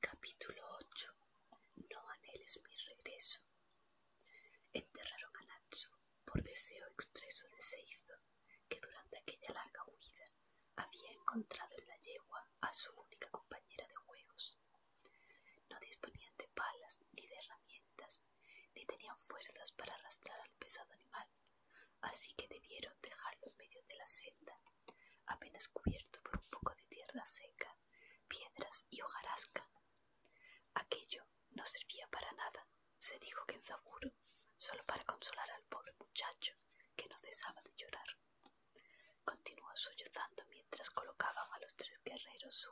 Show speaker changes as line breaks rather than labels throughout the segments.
Capítulo 8. No anheles mi regreso. Enterraron a por deseo expreso de Seizo, que durante aquella larga huida había encontrado en la yegua a su única compañera de juegos. No disponían de palas ni de herramientas, ni tenían fuerzas para arrastrar al pesado animal, así que debieron dejarlo en medio de la senda apenas cubierto por un poco de tierra seca, piedras y hojarasca. Aquello no servía para nada, se dijo que en Zaburo, solo para consolar al pobre muchacho que no cesaba de llorar. Continuó sollozando mientras colocaban a los tres guerreros su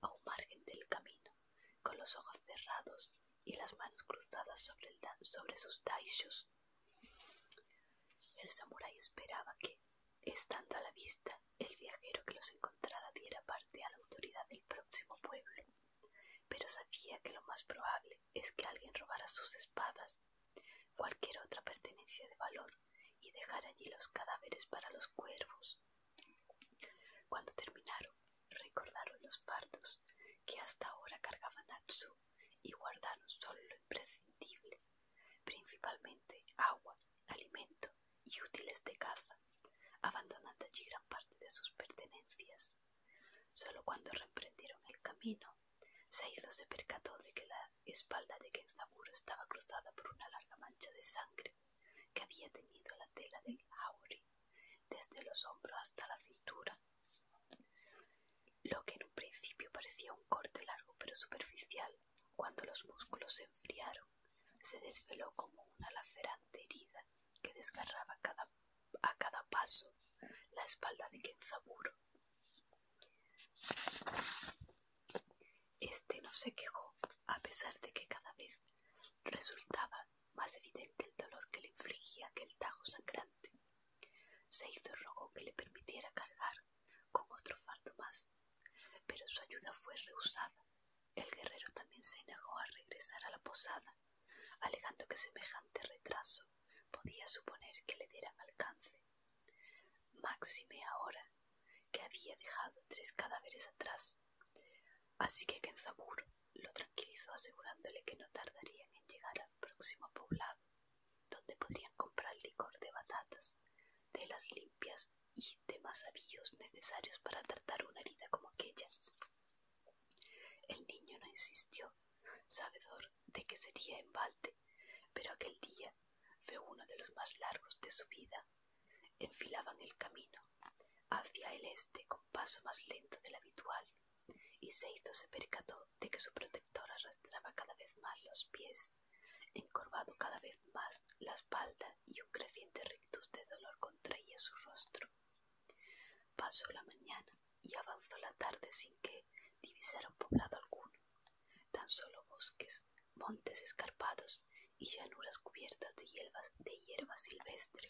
a un margen del camino, con los ojos cerrados y las manos cruzadas sobre, sobre sus daishos el samurái esperaba que, estando a la vista, el viajero que los encontrara diera parte a la autoridad del próximo pueblo, pero sabía que lo más probable es que alguien robara sus espadas, cualquier otra pertenencia de valor, y dejara allí los cadáveres para los cuervos. Cuando terminaron, recordaron los fardos que hasta ahora cargaban y guardaron solo lo imprescindible, principalmente agua, alimento y útiles de caza, abandonando allí gran parte de sus pertenencias. Solo cuando reprendieron el camino, Seido se percató de que la espalda de Kenzaburo estaba cruzada por una larga mancha de sangre que había teñido la tela del Auri desde los hombros hasta la cintura. Lo que en un principio parecía un corte largo pero superficial, cuando los músculos se enfriaron, se desveló como una lacerante herida que desgarraba a cada paso la espalda de Kenzaburo. Este no se quejó, a pesar de que cada vez resultaba más evidente el dolor que le infligía aquel tajo sangrante. Se hizo rogo que le permitiera cargar con otro fardo más, pero su ayuda fue rehusada. El guerrero también se negó a regresar a la posada, alegando que semejante retraso podía suponer que le dieran alcance. Máxime ahora que había dejado tres cadáveres atrás. Así que Kenzaburo lo tranquilizó asegurándole que no tardarían en llegar al próximo poblado donde podrían comprar licor de batatas, telas limpias y demás avillos necesarios para tratar una herida como aquella. El niño no insistió, sabedor de que sería embalde, pero aquel día fue uno de los más largos de su vida. Enfilaban el camino hacia el este con paso más lento del habitual, y hizo se percató de que su protector arrastraba cada vez más los pies, encorvado cada vez más la espalda y un creciente rictus de dolor contraía su rostro. Pasó la mañana y avanzó la tarde sin que divisara un poblado alguno, tan solo bosques, montes escarpados y llanuras cubiertas de, hierbas, de hierba silvestre.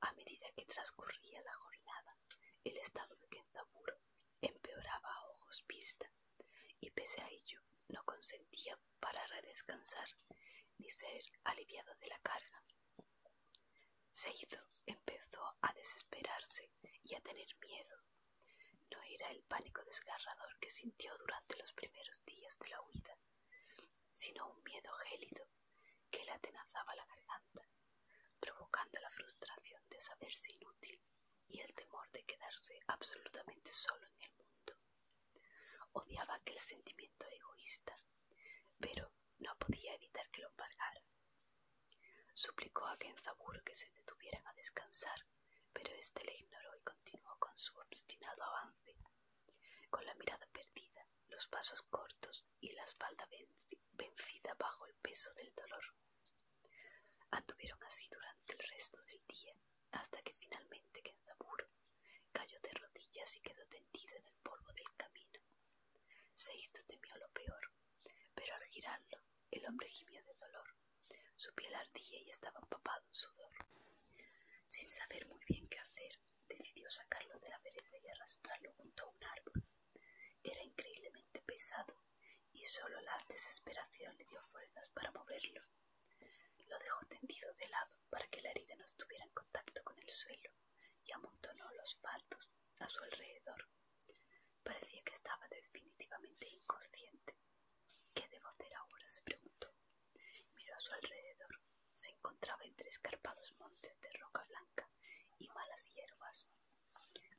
A medida que transcurría la jornada, el estado de Kenzaburo empeoraba a ojos vista, y pese a ello no consentía parar a descansar ni ser aliviado de la carga. hizo, empezó a desesperarse y a tener miedo. No era el pánico desgarrador que sintió durante los primeros días de la huida, sino un miedo gélido que le atenazaba la garganta, provocando la frustración de saberse inútil y el temor de quedarse absolutamente solo en el mundo. Odiaba aquel sentimiento egoísta, pero no podía evitar que lo embargara. Suplicó a Kenzaburo que se detuvieran a descansar, pero este le ignoró y continuó con su obstinado avance, con la mirada perdida, los pasos cortos y la espalda vencida bajo el peso del dolor. Anduvieron así durante el resto del día, hasta que finalmente Kenzaburo cayó de rodillas y quedó tendido en el polvo del camino. Se hizo temió lo peor, pero al girarlo el hombre gimió de dolor. Su piel ardía y estaba empapado en sudor. Sin saber muy bien qué hacer, decidió sacarlo de la pereza y arrastrarlo junto a un árbol. Era increíblemente pesado y solo la desesperación le dio fuerzas para moverlo. Lo dejó tendido de lado para que la herida no estuviera en contacto con el suelo y amontonó los faldos a su alrededor. Parecía que estaba definitivamente inconsciente. ¿Qué debo hacer ahora? se preguntó. Miró a su alrededor. Se encontraba entre escarpados montes de roca blanca y malas hierbas.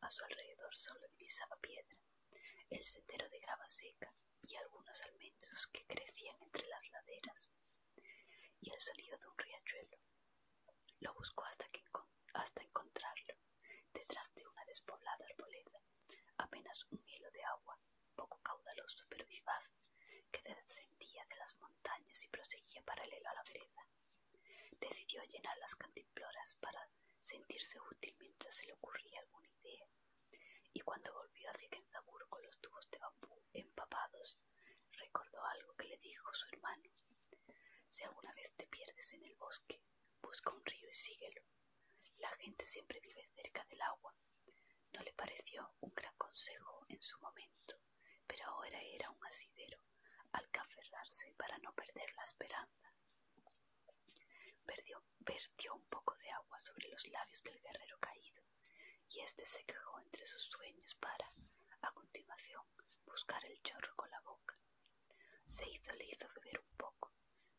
A su alrededor solo divisaba piedra, el sendero de grava seca y algunos almendros que crecían entre las laderas, y el sonido de un riachuelo. Lo buscó hasta, hasta encontrarlo, detrás de una despoblada arboleda, apenas un hilo de agua, poco caudaloso pero vivaz, que descendía de las montañas y proseguía paralelo a la vereda. Decidió llenar las cantimploras para sentirse útil mientras se le ocurría alguna idea, y cuando volvió hacia Kenzabur con los tubos de bambú empapados, recordó algo que le dijo su hermano. Si alguna vez te pierdes en el bosque, busca un río y síguelo. La gente siempre vive cerca del agua. No le pareció un gran consejo en su momento, pero ahora era un asidero al que aferrarse para no perder la esperanza. Perdió, un poco de agua sobre los labios del guerrero caído, y éste se quejó entre sus sueños para, a continuación, buscar el chorro con la boca. Se hizo, le hizo beber un poco,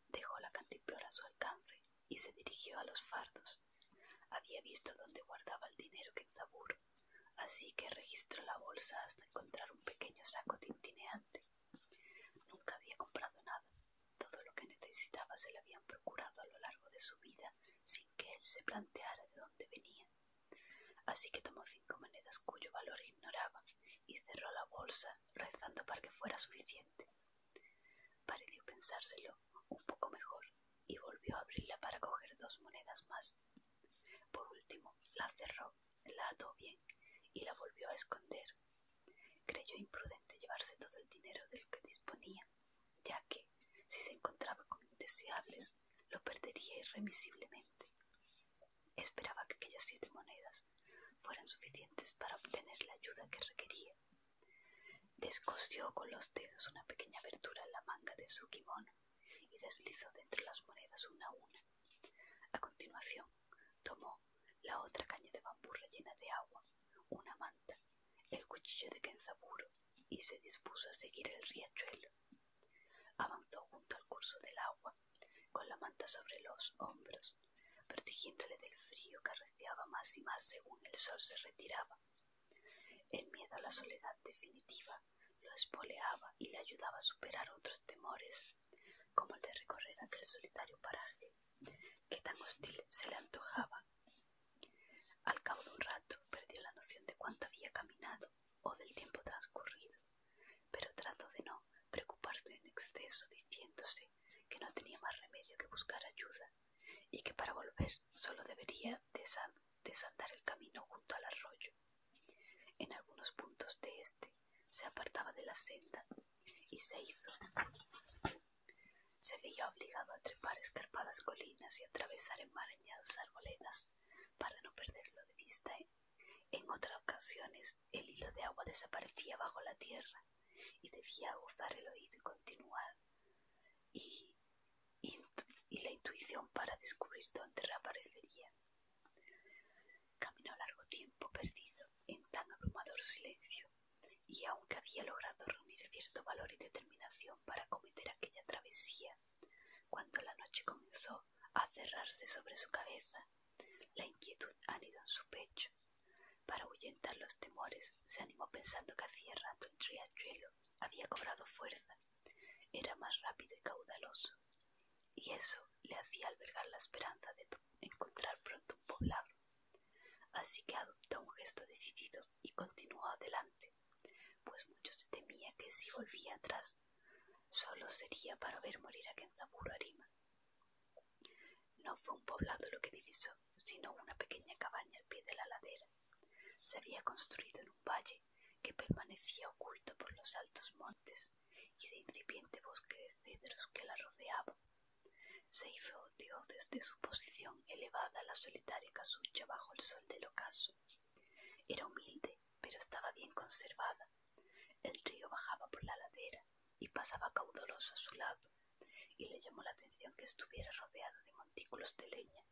dejó la cantimplora a su alcance y se dirigió a los fardos. Había visto dónde guardaba el dinero que Así que registró la bolsa hasta encontrar un pequeño saco tintineante. Nunca había comprado nada. Todo lo que necesitaba se le habían procurado a lo largo de su vida sin que él se planteara de dónde venía. Así que tomó cinco monedas cuyo valor ignoraba y cerró la bolsa rezando para que fuera suficiente. Pareció pensárselo un poco mejor y volvió a abrirla para coger dos monedas más por último, la cerró, la ató bien y la volvió a esconder. Creyó imprudente llevarse todo el dinero del que disponía, ya que, si se encontraba con indeseables, lo perdería irremisiblemente. Esperaba que aquellas siete monedas fueran suficientes para obtener la ayuda que requería. Descosió con los dedos una pequeña abertura en la manga de su kimono y deslizó dentro las monedas una a una. A continuación, tomó la otra caña de bambú rellena de agua, una manta, el cuchillo de Kenzaburo y se dispuso a seguir el riachuelo. Avanzó junto al curso del agua, con la manta sobre los hombros, protegiéndole del frío que arreciaba más y más según el sol se retiraba. El miedo a la soledad definitiva lo espoleaba y le ayudaba a superar otros temores, como el de recorrer aquel solitario paraje, que tan hostil se le antojaba. Al cabo de un rato perdió la noción de cuánto había caminado o del tiempo transcurrido, pero trató de no preocuparse en exceso diciéndose que no tenía más remedio que buscar ayuda y que para volver solo debería desandar el camino junto al arroyo. En algunos puntos de este se apartaba de la senda y se hizo. Se veía obligado a trepar escarpadas colinas y atravesar enmarañadas arboledas para no perderlo de vista. En otras ocasiones el hilo de agua desaparecía bajo la tierra y debía gozar el oído y continuar. Y y la intuición para descubrir dónde reaparecería. Caminó largo tiempo perdido en tan abrumador silencio, y aunque había logrado reunir cierto valor y determinación para cometer aquella travesía, cuando la noche comenzó a cerrarse sobre su cabeza, la inquietud anidó en su pecho. Para ahuyentar los temores, se animó pensando que hacía rato el riachuelo había cobrado fuerza, era más rápido y caudaloso, y eso le hacía albergar la esperanza de encontrar pronto un poblado. Así que adoptó un gesto decidido y continuó adelante, pues mucho se temía que si volvía atrás solo sería para ver morir a Kenzaburo Arima. No fue un poblado lo que divisó, sino una pequeña cabaña al pie de la ladera. Se había construido en un valle que permanecía oculto por los altos montes y de incipiente bosque de cedros que la rodeaban, Se hizo odio desde su posición elevada la solitaria casucha bajo el sol del ocaso. Era humilde, pero estaba bien conservada. El río bajaba por la ladera y pasaba caudaloso a su lado, y le llamó la atención que estuviera rodeado de montículos de leña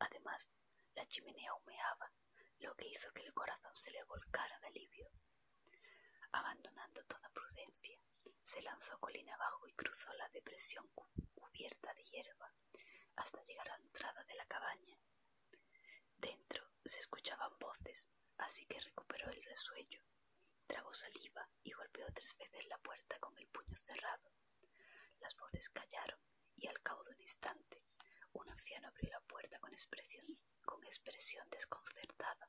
Además, la chimenea humeaba, lo que hizo que el corazón se le volcara de alivio. Abandonando toda prudencia, se lanzó colina abajo y cruzó la depresión cubierta de hierba hasta llegar a la entrada de la cabaña. Dentro se escuchaban voces, así que recuperó el resuello, tragó saliva y golpeó tres veces la puerta con el puño cerrado. Las voces callaron y al cabo de un instante un anciano abrió la puerta con expresión, con expresión desconcertada.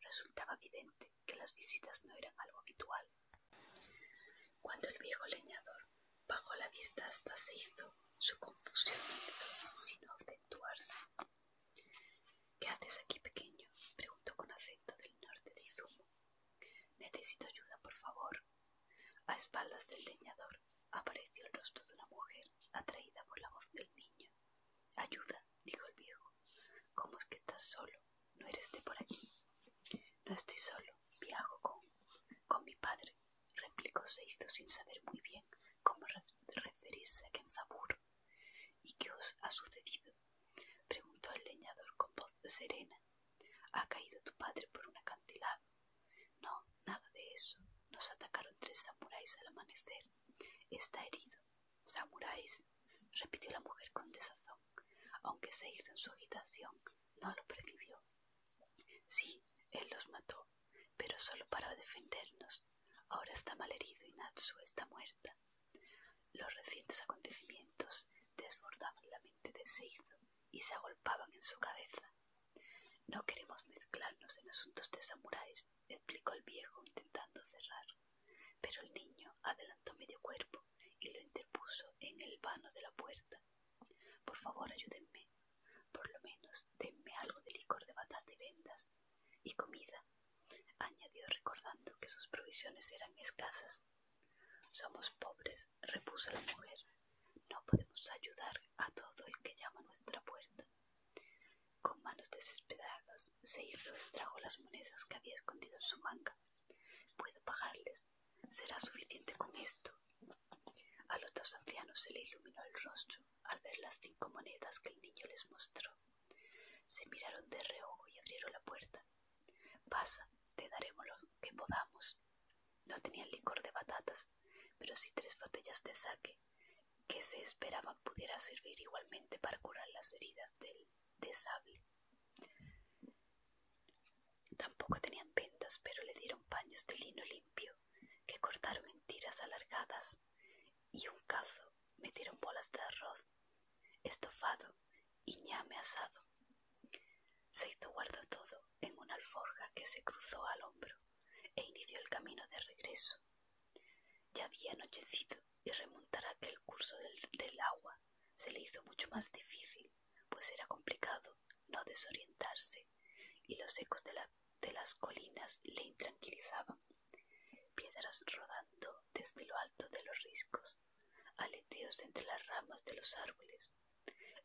Resultaba evidente que las visitas no eran algo habitual. Cuando el viejo leñador bajó la vista hasta se hizo, su confusión hizo sino acentuarse. ¿Qué haces aquí, pequeño? preguntó con acento del norte de Izumo. Necesito ayuda, por favor. A espaldas del leñador apareció el rostro de una mujer, atraída por la voz del niño. Ayuda, dijo el viejo. ¿Cómo es que estás solo? ¿No eres de por aquí? No estoy solo, viajo con, mi padre, replicó Seizo sin saber muy bien cómo referirse a Kenzabur. ¿Y qué os ha sucedido? preguntó el leñador con voz serena. ¿Ha caído tu padre por un acantilado? No, nada de eso. Nos atacaron tres samuráis al amanecer. Está herido. ¿Samuráis? repitió la mujer con desazón. Aunque se hizo en su agitación, no lo percibió. Sí, él los mató, pero solo para defendernos. Ahora está mal herido y Natsu está muerta. Los recientes acontecimientos desbordaban la mente de Seizo y se agolpaban en su cabeza. No queremos mezclarnos en asuntos de samuráis, explicó el viejo intentando cerrar. Pero el niño adelantó medio cuerpo y lo interpuso en el vano de la puerta. Por favor, ayúdenme. Por lo menos denme algo de licor de batata y vendas y comida, añadió recordando que sus provisiones eran escasas. Somos pobres, repuso la mujer. No podemos ayudar a todo el que llama a nuestra puerta. Con manos desesperadas se hizo extrajo las monedas que había escondido en su manga. Puedo pagarles. Será suficiente con esto. A los dos ancianos se le iluminó el rostro al ver las cinco monedas que el niño les mostró. Se miraron de reojo y abrieron la puerta. Pasa, te daremos lo que podamos. No tenían licor de batatas, pero sí tres botellas de saque, que se esperaba pudiera servir igualmente para curar las heridas del desable. Tampoco tenían vendas, pero le dieron paños de lino limpio, que cortaron en tiras alargadas, y un cazo metieron bolas de arroz, estofado Iñame asado. Se hizo guardo todo en una alforja que se cruzó al hombro e inició el camino de regreso. Ya había anochecido y remontar aquel curso del, agua se le hizo mucho más difícil, pues era complicado no desorientarse y los ecos de las colinas le intranquilizaban. Piedras rodando desde lo alto de los riscos aleteos entre las ramas de los árboles,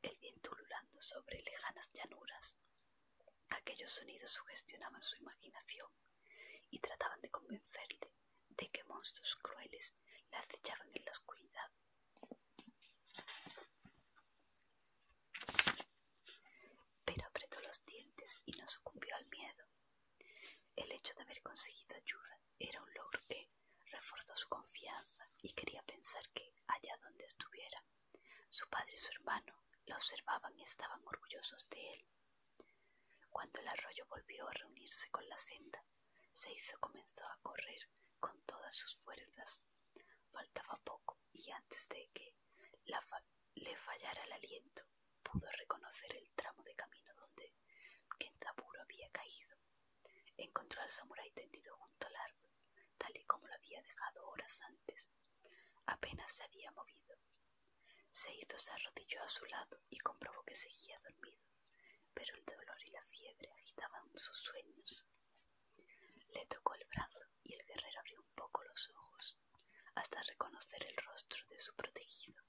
el viento ululando sobre lejanas llanuras. Aquellos sonidos sugestionaban su imaginación y trataban de convencerle de que monstruos crueles la acechaban en la oscuridad. Pero apretó los dientes y no sucumbió al miedo. El hecho de haber conseguido ayuda era un logro que reforzó su confianza y quería pensar que, allá donde estuviera, su padre y su hermano la observaban y estaban orgullosos de él. Cuando el arroyo volvió a reunirse con la senda, se comenzó a correr con todas sus fuerzas. Faltaba poco y antes de que le fallara el aliento, pudo reconocer el tramo de camino donde Kentaburo había caído Encontró al samurái tendido junto al árbol, tal y como lo había dejado horas antes. Apenas se había movido. Se hizo, se arrodilló a su lado y comprobó que seguía dormido, pero el dolor y la fiebre agitaban sus sueños. Le tocó el brazo y el guerrero abrió un poco los ojos, hasta reconocer el rostro de su protegido.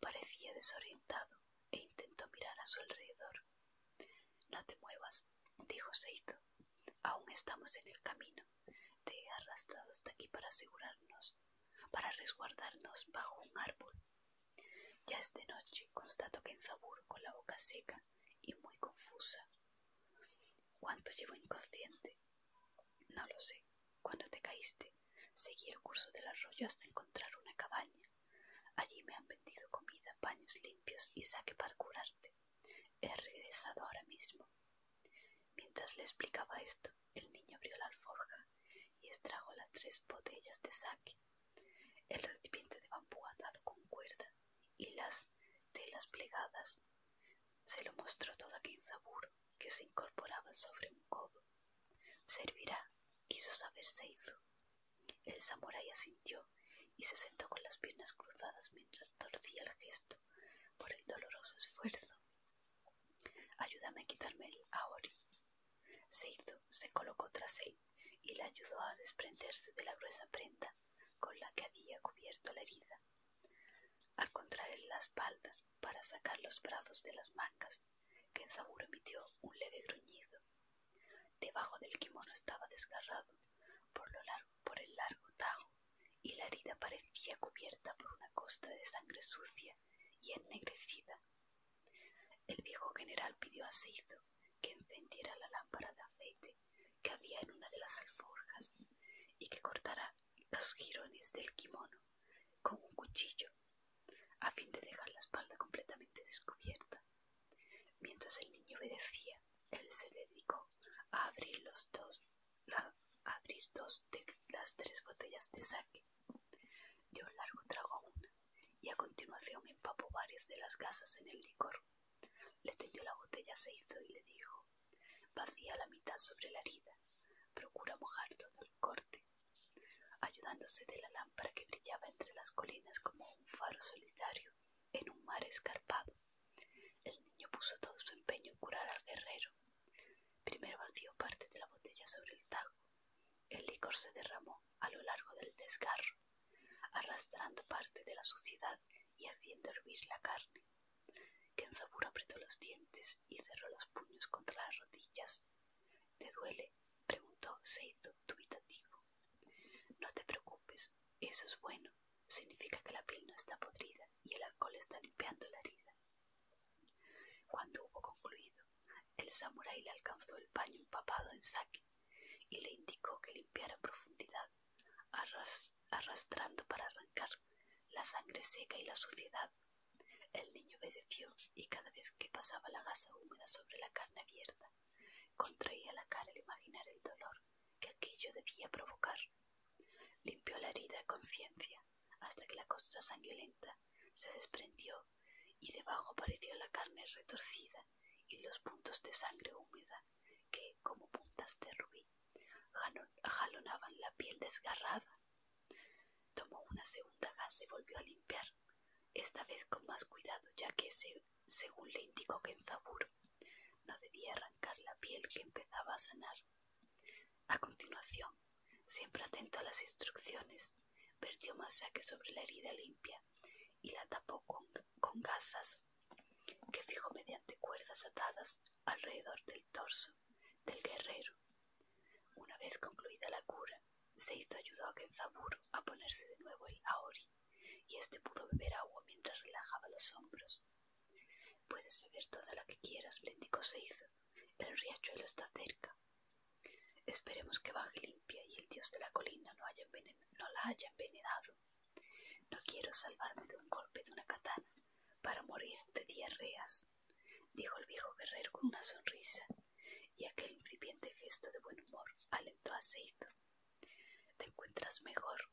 Parecía desorientado e intentó mirar a su alrededor, no te muevas, dijo Seizo. Aún estamos en el camino. Te he arrastrado hasta aquí para asegurarnos, para resguardarnos bajo un árbol. Ya es de noche, constato que en Zabur con la boca seca y muy confusa. ¿Cuánto llevo inconsciente? No lo sé. Cuando te caíste, seguí el curso del arroyo hasta encontrar una cabaña. Allí me han vendido comida, paños limpios y saque para curarte. He regresado ahora mismo. Mientras le explicaba esto, el niño abrió la alforja y extrajo las tres botellas de saque, el recipiente de bambú atado con cuerda y las de las plegadas. Se lo mostró todo aquel zaburo que se incorporaba sobre un codo. Servirá, quiso saber se hizo, el samurái asintió y se sentó con las piernas cruzadas mientras torcía el gesto por el doloroso esfuerzo. Ayúdame a quitarme el aori. Se hizo, se colocó tras él y le ayudó a desprenderse de la gruesa prenda con la que había cubierto la herida. Al contraer la espalda para sacar los brazos de las mangas, Kenzaburo emitió un leve gruñido. Debajo del kimono estaba desgarrado por, lo largo, por el largo tajo y la herida parecía cubierta por una costa de sangre sucia y ennegrecida. El viejo general pidió a Seizo que encendiera la lámpara de aceite que había en una de las alforjas y que cortara los jirones del kimono con un cuchillo a fin de dejar la espalda completamente descubierta. Mientras el niño obedecía, él se dedicó a abrir los dos, a abrir dos de las tres botellas de saque. Dio un largo trago a una y a continuación empapó varias de las gasas en el licor. Le tendió la botella se hizo y le dijo: Vacía la mitad sobre la herida. Procura mojar todo el corte ayudándose de la lámpara que brillaba entre las colinas como un faro solitario en un mar escarpado. El niño puso todo su empeño en curar al guerrero. Primero vació parte de la botella sobre el tajo. El licor se derramó a lo largo del desgarro, arrastrando parte de la suciedad y haciendo hervir la carne. Kenzabur apretó los dientes y cerró los puños contra las rodillas ¿Te duele? preguntó Seizo dubitativo. No te preocupes, eso es bueno. Significa que la piel no está podrida y el alcohol está limpiando la herida. Cuando hubo concluido, el samurai le alcanzó el paño empapado en sake y le indicó que limpiara profundidad, arrastrando para arrancar la sangre seca y la suciedad. El niño obedeció y cada vez que pasaba la gasa húmeda sobre la carne abierta, contraía la cara al imaginar el dolor que aquello debía provocar. Limpió la herida con conciencia hasta que la costra sangrienta se desprendió y debajo apareció la carne retorcida y los puntos de sangre húmeda que, como puntas de rubí, jalonaban la piel desgarrada. Tomó una segunda gasa y volvió a limpiar esta vez con más cuidado, ya que, según le indicó zabur no debía arrancar la piel que empezaba a sanar. A continuación, siempre atento a las instrucciones, vertió saque sobre la herida limpia y la tapó con gasas que fijó mediante cuerdas atadas alrededor del torso del guerrero una vez concluida la cura, Seizo ayudó a Genzaburo a ponerse de nuevo el aori, y éste pudo beber agua mientras relajaba los hombros. Puedes beber toda la que quieras, le indicó Seizo. El riachuelo está cerca. Esperemos que baje limpia y el dios de la colina no, la haya envenenado. No quiero salvarme de un golpe de una katana para morir de diarreas, dijo el viejo guerrero con una sonrisa y aquel incipiente gesto de buen humor alentó a Seizo. ¿Te encuentras mejor?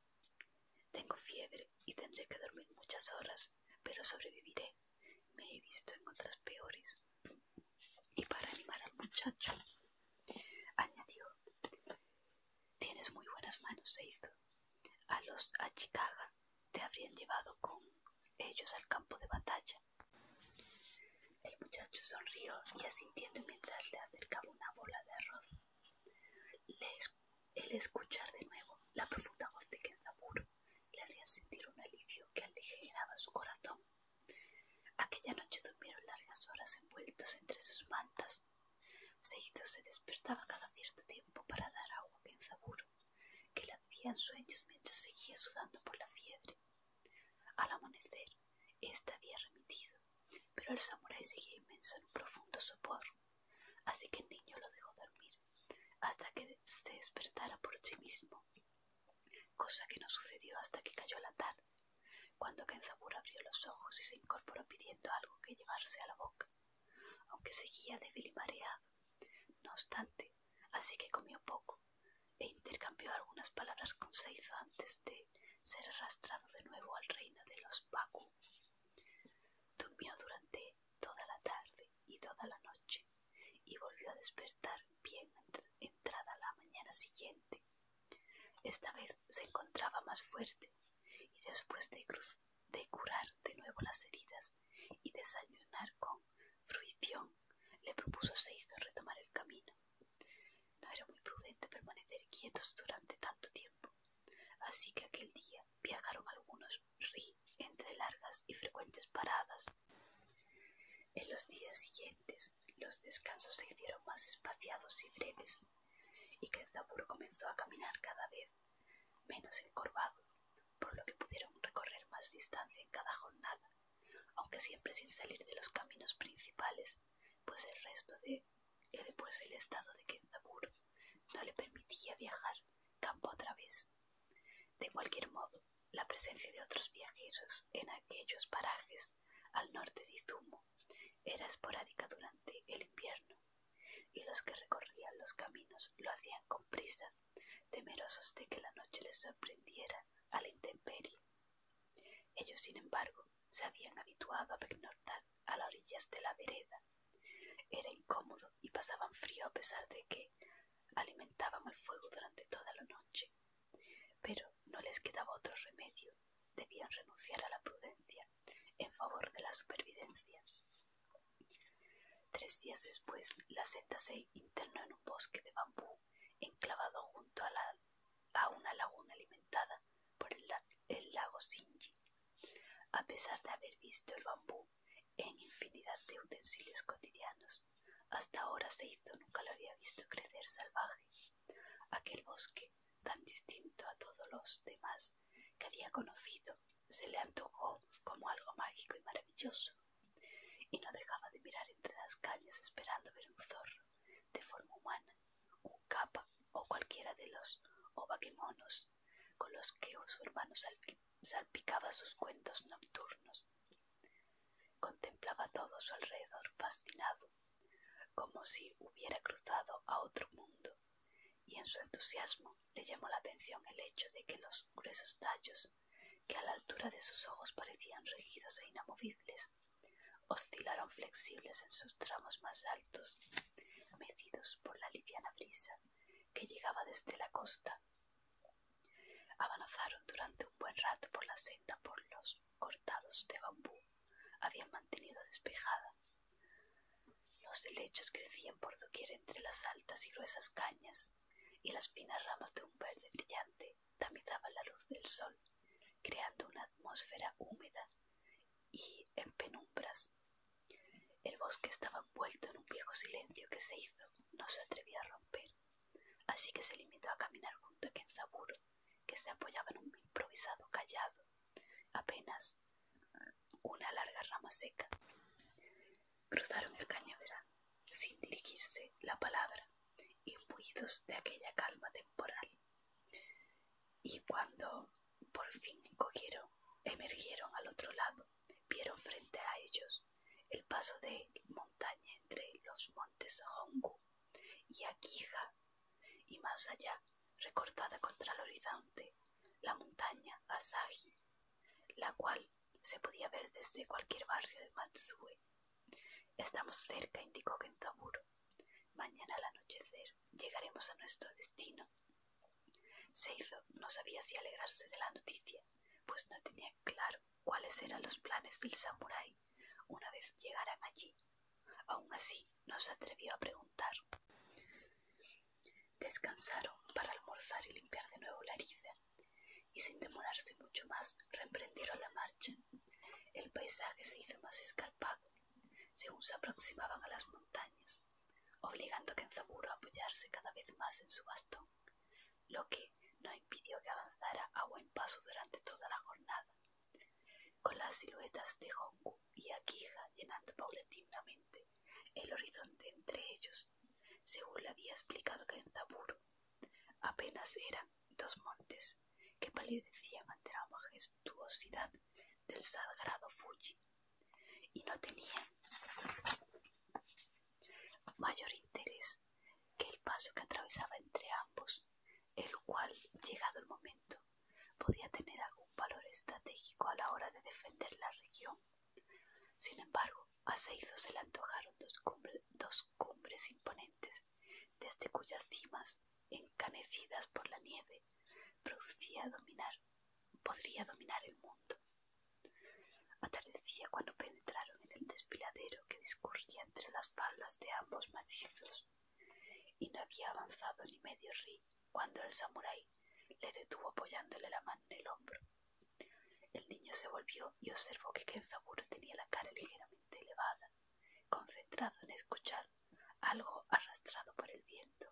Tengo fiebre y tendré que dormir muchas horas, pero sobreviviré. Me he visto en otras peores. Y para animar al muchacho, añadió: Tienes muy buenas manos, Seizo. A los Achicaga te habrían llevado con ellos al campo de batalla el muchacho sonrió y asintiendo mientras le acercaba una bola de arroz. el escuchar de nuevo la profunda voz de Kenzaburo le hacía sentir un alivio que aligeraba su corazón. Aquella noche durmieron largas horas envueltos entre sus mantas. Seito se despertaba cada cierto tiempo para dar agua a Kenzaburo, que la bebía en sueños mientras seguía sudando por la fiebre. Al amanecer, ésta este había remitido, pero el samurái seguía inmenso en un profundo sopor, así que el niño lo dejó dormir hasta que se despertara por sí mismo, cosa que no sucedió hasta que cayó la tarde, cuando Kenzabur abrió los ojos y se incorporó pidiendo algo que llevarse a la boca, aunque seguía débil y mareado. No obstante, así que comió poco e intercambió algunas palabras con Seizo antes de ser arrastrado de nuevo al reino de los Baku. Durmió durante toda la tarde y toda la noche y volvió a despertar bien entrada la mañana siguiente. Esta vez se encontraba más fuerte y después de, de curar de nuevo las heridas y desayunar con fruición le propuso Seis de retomar el camino. No era muy prudente permanecer quietos durante tanto tiempo, así que aquel día viajaron algunos ri entre largas y frecuentes paradas. En los días siguientes, los descansos se hicieron más espaciados y breves, y Kenzaburo comenzó a caminar cada vez menos encorvado, por lo que pudieron recorrer más distancia en cada jornada aunque siempre sin salir de los caminos principales, pues el resto de después eh, pues el estado de Kenzabur no le permitía viajar campo otra vez De cualquier modo, la presencia de otros viajeros en aquellos parajes al norte de Izumo era esporádica durante el invierno, y los que recorrían los caminos lo hacían con prisa temerosos de que la noche les sorprendiera a la intemperie. Ellos, sin embargo, se habían habituado a pernoctar a las orillas de la vereda. Era incómodo y pasaban frío a pesar de que alimentaban el fuego durante toda la noche. Pero no les quedaba otro remedio. Debían renunciar a la prudencia en favor de la supervivencia. Tres días después, la seta se internó en bosque de bambú enclavado junto a, una laguna alimentada por el, lago Sinji. A pesar de haber visto el bambú en infinidad de utensilios cotidianos, hasta ahora se hizo nunca lo había visto crecer salvaje. Aquel bosque, tan distinto a todos los demás que había conocido, se le antojó como algo mágico y maravilloso y no dejaba de mirar entre las calles esperando ver un zorro de forma humana, un capa o cualquiera de los ovaquemonos con los que su hermano salpicaba sus cuentos nocturnos. Contemplaba todo su alrededor fascinado, como si hubiera cruzado a otro mundo, y en su entusiasmo le llamó la atención el hecho de que los gruesos tallos que a la altura de sus ojos parecían rígidos e inamovibles, oscilaron flexibles en sus tramos más altos, medidos por la liviana brisa que llegaba desde la costa. Avanzaron durante un buen rato por la senda por los cortados de bambú, habían mantenido despejada. Los helechos crecían por doquier entre las altas y gruesas cañas, y las finas ramas de un verde brillante tamizaban la luz del sol, creando una atmósfera húmeda y en penumbras. El bosque estaba envuelto en un viejo silencio que se hizo, no se atrevía a romper, así que se limitó a caminar junto a Kenzaburo, que se apoyaba en un improvisado callado, apenas una larga rama seca. Cruzaron el cañaveral sin dirigirse la palabra, imbuidos de aquella calma temporal. Y cuando por fin cogieron, emergieron al otro lado, vieron frente a ellos el paso de montaña entre los montes Hongu y Akija, y más allá, recortada contra el horizonte, la montaña Asagi la cual se podía ver desde cualquier barrio de Matsue. Estamos cerca, indicó Kenzaburo. Mañana al anochecer llegaremos a nuestro destino. Seizo no sabía si alegrarse de la noticia, pues no tenía claro cuáles eran los planes del samurái una vez llegaran allí. Aun así, no se atrevió a preguntar. Descansaron para almorzar y limpiar de nuevo la herida y sin demorarse mucho más reemprendieron la marcha. El paisaje se hizo más escarpado según se aproximaban a las montañas, obligando a Kenzaburo a apoyarse cada vez más en su bastón, lo que no impidió que avanzara a buen paso durante toda la jornada. Con las siluetas de Hongu y Akija llenando paulatinamente el horizonte entre ellos, según le había explicado Zaburo Apenas eran dos montes que palidecían ante la majestuosidad del sagrado Fuji y no tenían mayor interés que el paso que atravesaba entre ambos, el cual, llegado el momento, podía tener algún valor estratégico a la hora de defender la región. Sin embargo, a se le antojaron dos, cumbres imponentes, desde cuyas cimas, encanecidas por la nieve, producía dominar, podría dominar el mundo. Atardecía cuando penetraron en el desfiladero que discurría entre las faldas de ambos macizos, y no había avanzado ni medio ri cuando el samurái le detuvo apoyándole la mano en el hombro. El niño se volvió y observó que Kenzabur tenía la cara ligeramente elevada, concentrado en escuchar algo arrastrado por el viento.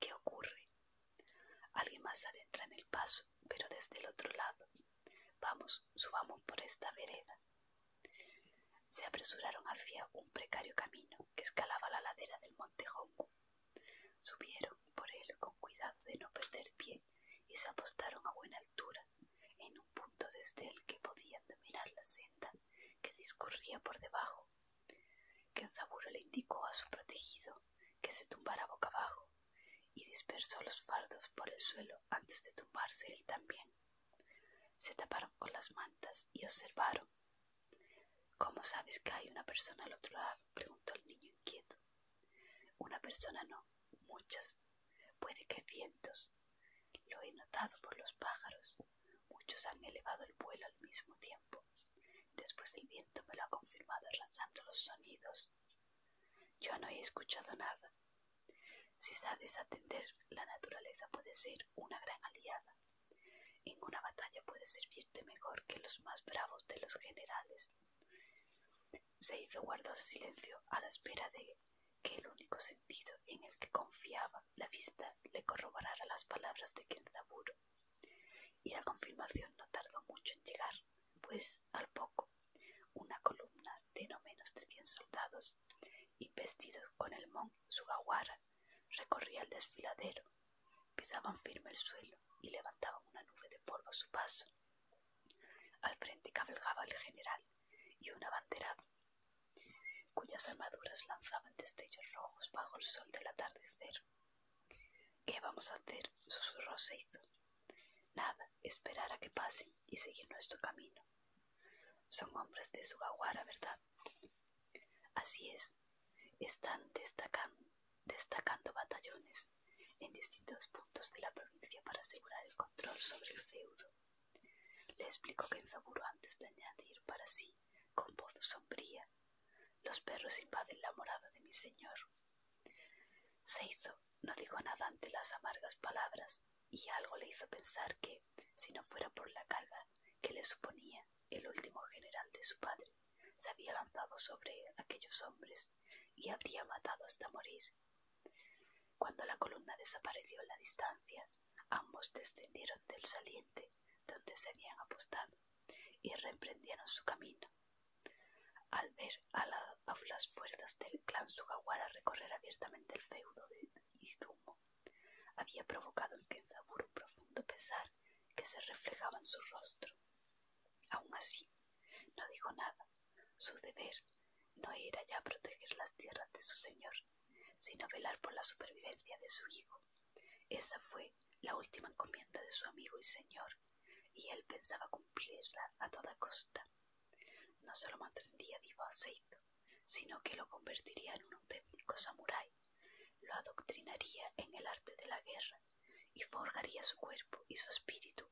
¿Qué ocurre? Alguien más adentra en el paso, pero desde el otro lado. Vamos, subamos por esta vereda. Se apresuraron hacia un precario camino que escalaba la ladera del monte Subieron por él con cuidado de no perder pie y se apostaron a buena altura, en un punto desde el que podían dominar la senda que discurría por debajo. Kenzaburo le indicó a su protegido que se tumbara boca abajo y dispersó los fardos por el suelo antes de tumbarse él también. Se taparon con las mantas y observaron. ¿Cómo sabes que hay una persona al otro lado? preguntó el niño inquieto. Una persona no, muchas, puede que cientos. Lo he notado por los pájaros. Muchos han elevado el vuelo al mismo tiempo. Después el viento me lo ha confirmado arrasando los sonidos. Yo no he escuchado nada. Si sabes atender, la naturaleza puede ser una gran aliada. En una batalla puede servirte mejor que los más bravos de los generales. Se hizo guardar silencio a la espera de que el único sentido en el que confiaba la vista le corroborara las palabras de Kenzaburo. Y la confirmación no tardó mucho en llegar, pues al poco una columna de no menos de cien soldados, y vestidos con el mon Sugawara, recorría el desfiladero Pisaban firme el suelo y levantaban una nube de polvo a su paso. Al frente cabalgaba el general y una banderada cuyas armaduras lanzaban destellos rojos bajo el sol del atardecer. ¿Qué vamos a hacer? susurró Seizo. Nada, esperar a que pasen y seguir nuestro camino. Son hombres de su Sugawara, ¿verdad? Así es, están destacando destacando batallones en distintos puntos de la provincia para asegurar el control sobre el feudo. Le explicó que en Zaburo antes de añadir para sí, con voz sombría, los perros invaden la morada de mi señor. se hizo no dijo nada ante las amargas palabras, y algo le hizo pensar que, si no fuera por la carga que le suponía el último general de su padre, se había lanzado sobre aquellos hombres y habría matado hasta morir. Cuando la columna desapareció en la distancia, ambos descendieron del saliente donde se habían apostado y reemprendieron su camino. Al ver a, las fuerzas del clan Sugawara recorrer abiertamente el feudo de Izumo, había provocado en Kenzaburo un profundo pesar que se reflejaba en su rostro. Aun así, no dijo nada. Su deber no era ya proteger las tierras de su señor, sino velar por la supervivencia de su hijo. Esa fue la última encomienda de su amigo y señor, y él pensaba cumplirla a toda costa. No solo mantendría vivo a Seito, sino que lo convertiría en un auténtico samurái, lo adoctrinaría en el arte de la guerra y forgaría su cuerpo y su espíritu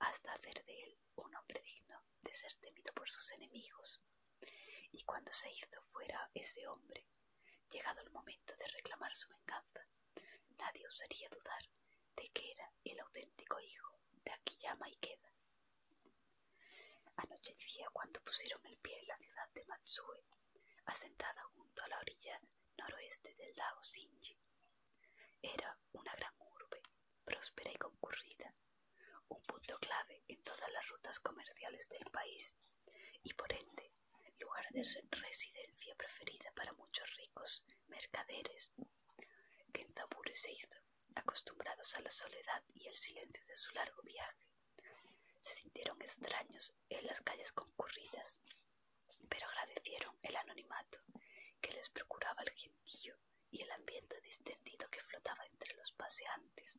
hasta hacer de él un hombre digno de ser temido por sus enemigos. Y cuando se hizo fuera ese hombre, llegado el momento de reclamar su venganza, nadie osaría dudar de que era el auténtico hijo de Akiyama Queda Anochecía cuando pusieron el pie en la ciudad de Matsue asentada junto a la orilla noroeste del lago Xinji Era una gran urbe, próspera y concurrida, un punto clave en todas las rutas comerciales del país y por ende lugar de residencia preferida para muchos ricos mercaderes. Kenzaburo se hizo, acostumbrados a la soledad y el silencio de su largo viaje. Se sintieron extraños en las calles concurridas pero agradecieron el anonimato que les procuraba el gentío y el ambiente distendido que flotaba entre los paseantes,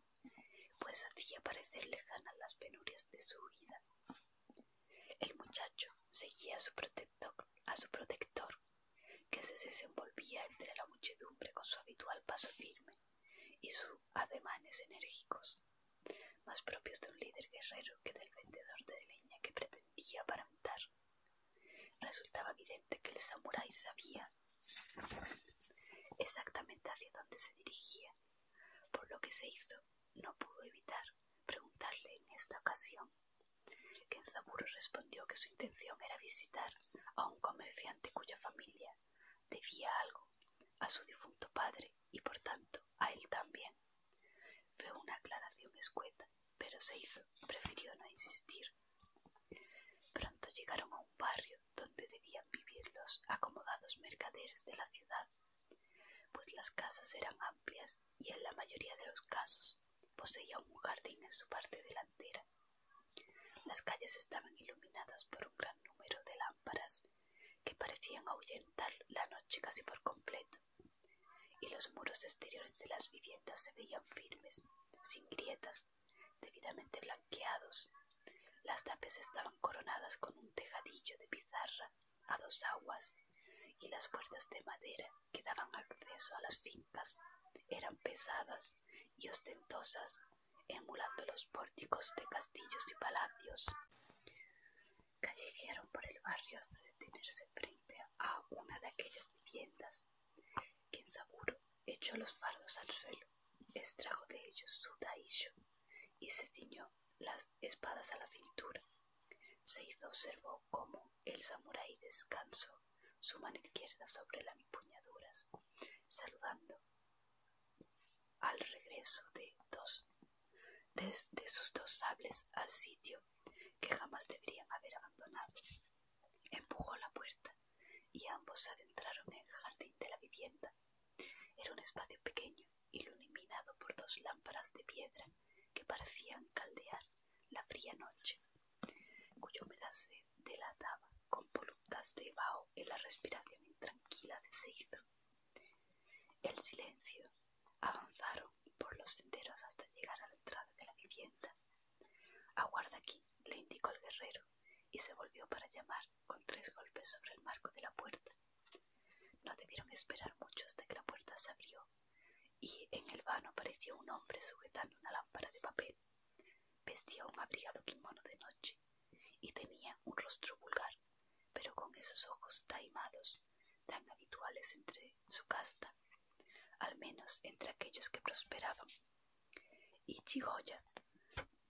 pues hacía parecer lejanas las penurias de su vida. El muchacho seguía a su protector, a su protector que se desenvolvía entre la muchedumbre con su habitual paso firme y sus ademanes enérgicos más propios de un líder guerrero que del vendedor de leña que pretendía aparentar. Resultaba evidente que el samurái sabía exactamente hacia dónde se dirigía, por lo que se hizo, no pudo evitar preguntarle en esta ocasión. Kenzaburo respondió que su intención era visitar a un comerciante cuya familia debía algo a su difunto padre y por tanto a él también. Fue una aclaración escueta, pero se hizo. Prefirió no insistir. Pronto llegaron a un barrio donde debían vivir los acomodados mercaderes de la ciudad, pues las casas eran amplias y en la mayoría de los casos poseía un jardín en su parte delantera. Las calles estaban iluminadas por un gran número de lámparas que parecían ahuyentar la noche casi por completo, y los muros exteriores de las viviendas se veían firmes, sin grietas, debidamente blanqueados. Las tapes estaban coronadas con un tejadillo de pizarra a dos aguas, y las puertas de madera que daban acceso a las fincas eran pesadas y ostentosas, emulando los pórticos de castillos y palacios callejearon por el barrio hasta detenerse frente a una de aquellas viviendas. quien saburo echó los fardos al suelo, extrajo de ellos su daisho y se ciñó las espadas a la cintura. Se hizo observó cómo el samurái descansó su mano izquierda sobre las empuñaduras, saludando al regreso de, dos, de, sus dos sables al sitio que jamás deberían haber abandonado. Empujó la puerta y ambos se adentraron en el jardín de la vivienda. Era un espacio pequeño, iluminado por dos lámparas de piedra que parecían caldear la fría noche, Cuyo humedad se delataba con volutas de vaho en la respiración intranquila de Seizo. El silencio Avanzaron por los senderos hasta llegar a la entrada de la vivienda. Aguarda aquí, le indicó el guerrero, y se volvió para llamar con tres golpes sobre el marco de la puerta. No debieron esperar mucho hasta que la puerta se abrió, y en el vano apareció un hombre sujetando una lámpara de papel. Vestía un abrigado kimono de noche y tenía un rostro vulgar pero con esos ojos taimados tan habituales entre su casta, al menos entre aquellos que prosperaban. Ichigoya,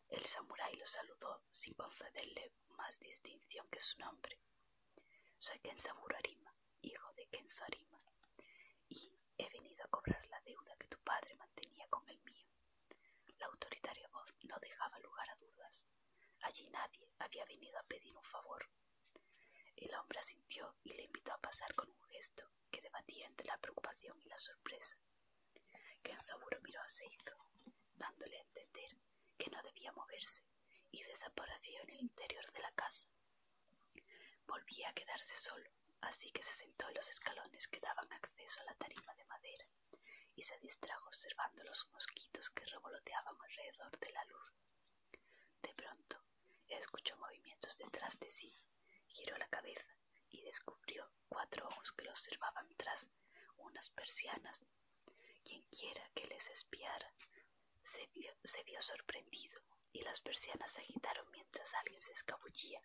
el samurái lo saludó sin concederle más distinción que su nombre. Soy Kensamurarima, hijo de Kenzo y he venido a cobrar la deuda que tu padre mantenía con el mío. La autoritaria voz no dejaba lugar a dudas. Allí nadie había venido a pedir un favor. El hombre asintió y le invitó a pasar con un gesto que debatía entre la preocupación y la sorpresa. Kenzaburo miró a Seizo, dándole a entender que no debía moverse, y desapareció en el interior de la casa. Volvía a quedarse solo, así que se sentó en los escalones que daban acceso a la tarima de madera y se distrajo observando los mosquitos que revoloteaban alrededor de la luz. De pronto escuchó movimientos detrás de sí, giró la cabeza y descubrió cuatro ojos que lo observaban tras unas persianas. Quienquiera que les espiara se vio, sorprendido y las persianas se agitaron mientras alguien se escabullía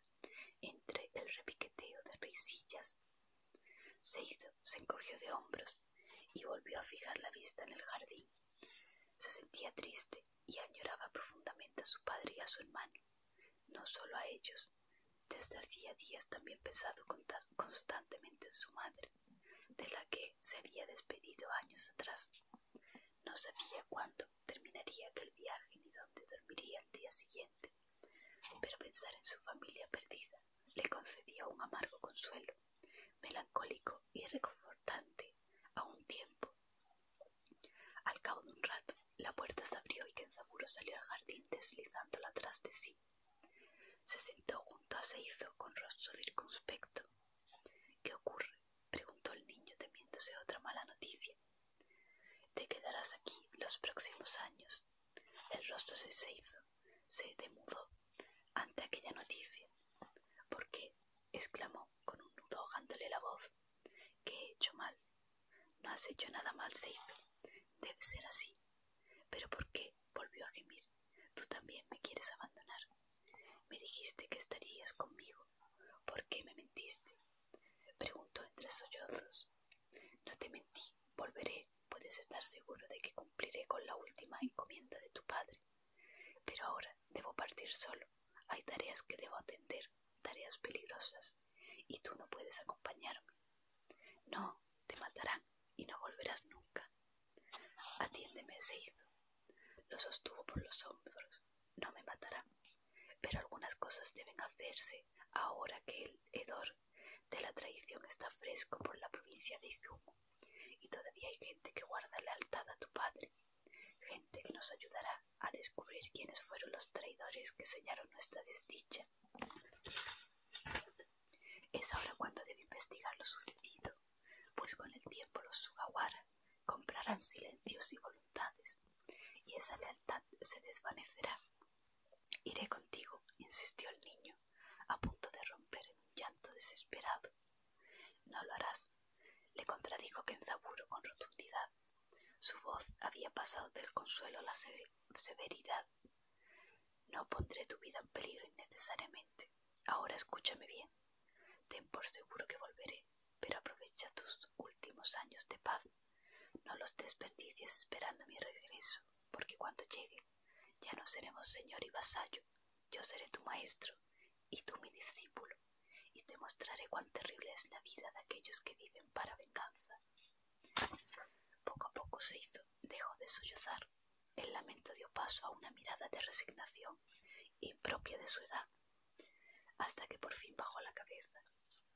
entre el repiqueteo de risillas. Se hizo se encogió de hombros y volvió a fijar la vista en el jardín. Se sentía triste y añoraba profundamente a su padre y a su hermano, no solo a ellos. Desde hacía días también pensado constantemente en su madre, de la que se había despedido años atrás. No sabía cuándo terminaría aquel viaje ni dónde dormiría el día siguiente, pero pensar en su familia perdida le concedía un amargo consuelo, melancólico y reconfortante a un tiempo. Al cabo de un rato, la puerta se abrió y Kenzaburo salió al jardín deslizándola atrás de sí. Se sentó junto a Seizo con rostro circunspecto. ¿Qué ocurre? preguntó el niño temiéndose otra mala noticia. Te quedarás aquí los próximos años, el rostro se, se hizo, se demudó ante aquella noticia. ¿Por qué? exclamó con un nudo ahogándole la voz. ¿Qué he hecho mal? No has hecho nada mal, hizo Debe ser así. ¿Pero por qué? volvió a gemir. Tú también me quieres abandonar. Me dijiste que estarías conmigo. ¿Por qué me mentiste? preguntó entre sollozos. No te mentí, volveré, puedes estar seguro de que cumpliré con la última encomienda de tu padre. Pero ahora debo partir solo. Hay tareas que debo atender, tareas peligrosas, y tú no puedes acompañarme. No, te matarán y no volverás nunca. Atiéndeme, se hizo. Lo sostuvo por los hombros. No me matarán. Pero algunas cosas deben hacerse ahora que el hedor de la traición está fresco por la provincia de Izumo, y todavía hay gente que guarda lealtad a tu padre, gente que nos ayudará a descubrir quiénes fueron los traidores que sellaron nuestra desdicha. Es ahora cuando debe investigar lo sucedido, pues con el tiempo los Sugawara comprarán silencios y voluntades, y esa lealtad se desvanecerá. Iré contigo, insistió el niño a punto de romper en un llanto desesperado. No lo harás, le contradijo Kenzaburo con rotundidad. Su voz había pasado del consuelo a la severidad. No pondré tu vida en peligro innecesariamente. Ahora escúchame bien. Ten por seguro que volveré, pero aprovecha tus últimos años de paz. No los desperdicies esperando mi regreso, porque cuando llegue ya no seremos señor y vasallo, yo seré tu maestro y tú mi discípulo, y te mostraré cuán terrible es la vida de aquellos que viven para venganza. Poco a poco se hizo, dejó de sollozar. El lamento dio paso a una mirada de resignación, impropia de su edad, hasta que por fin bajó la cabeza,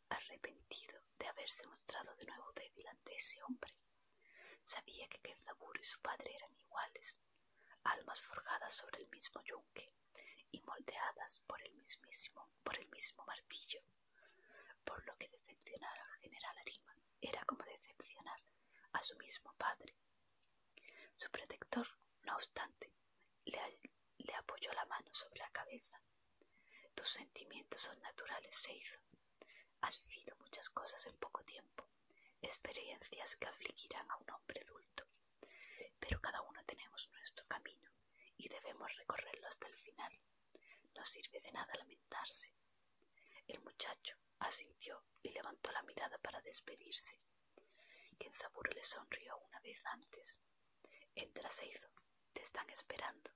arrepentido de haberse mostrado de nuevo débil ante ese hombre. Sabía que Kenzaburo y su padre eran iguales, almas forjadas sobre el mismo yunque y moldeadas por el mismísimo, por el mismo martillo, por lo que decepcionar al general Arima era como decepcionar a su mismo padre. Su protector, no obstante, le, le apoyó la mano sobre la cabeza. Tus sentimientos son naturales, se hizo Has vivido muchas cosas en poco tiempo, experiencias que afligirán a un hombre adulto. Pero cada uno tenemos nuestro camino y debemos recorrerlo hasta el final. No sirve de nada lamentarse. El muchacho asintió y levantó la mirada para despedirse. Kenzaburo le sonrió una vez antes. Entra, Seizo. Te están esperando.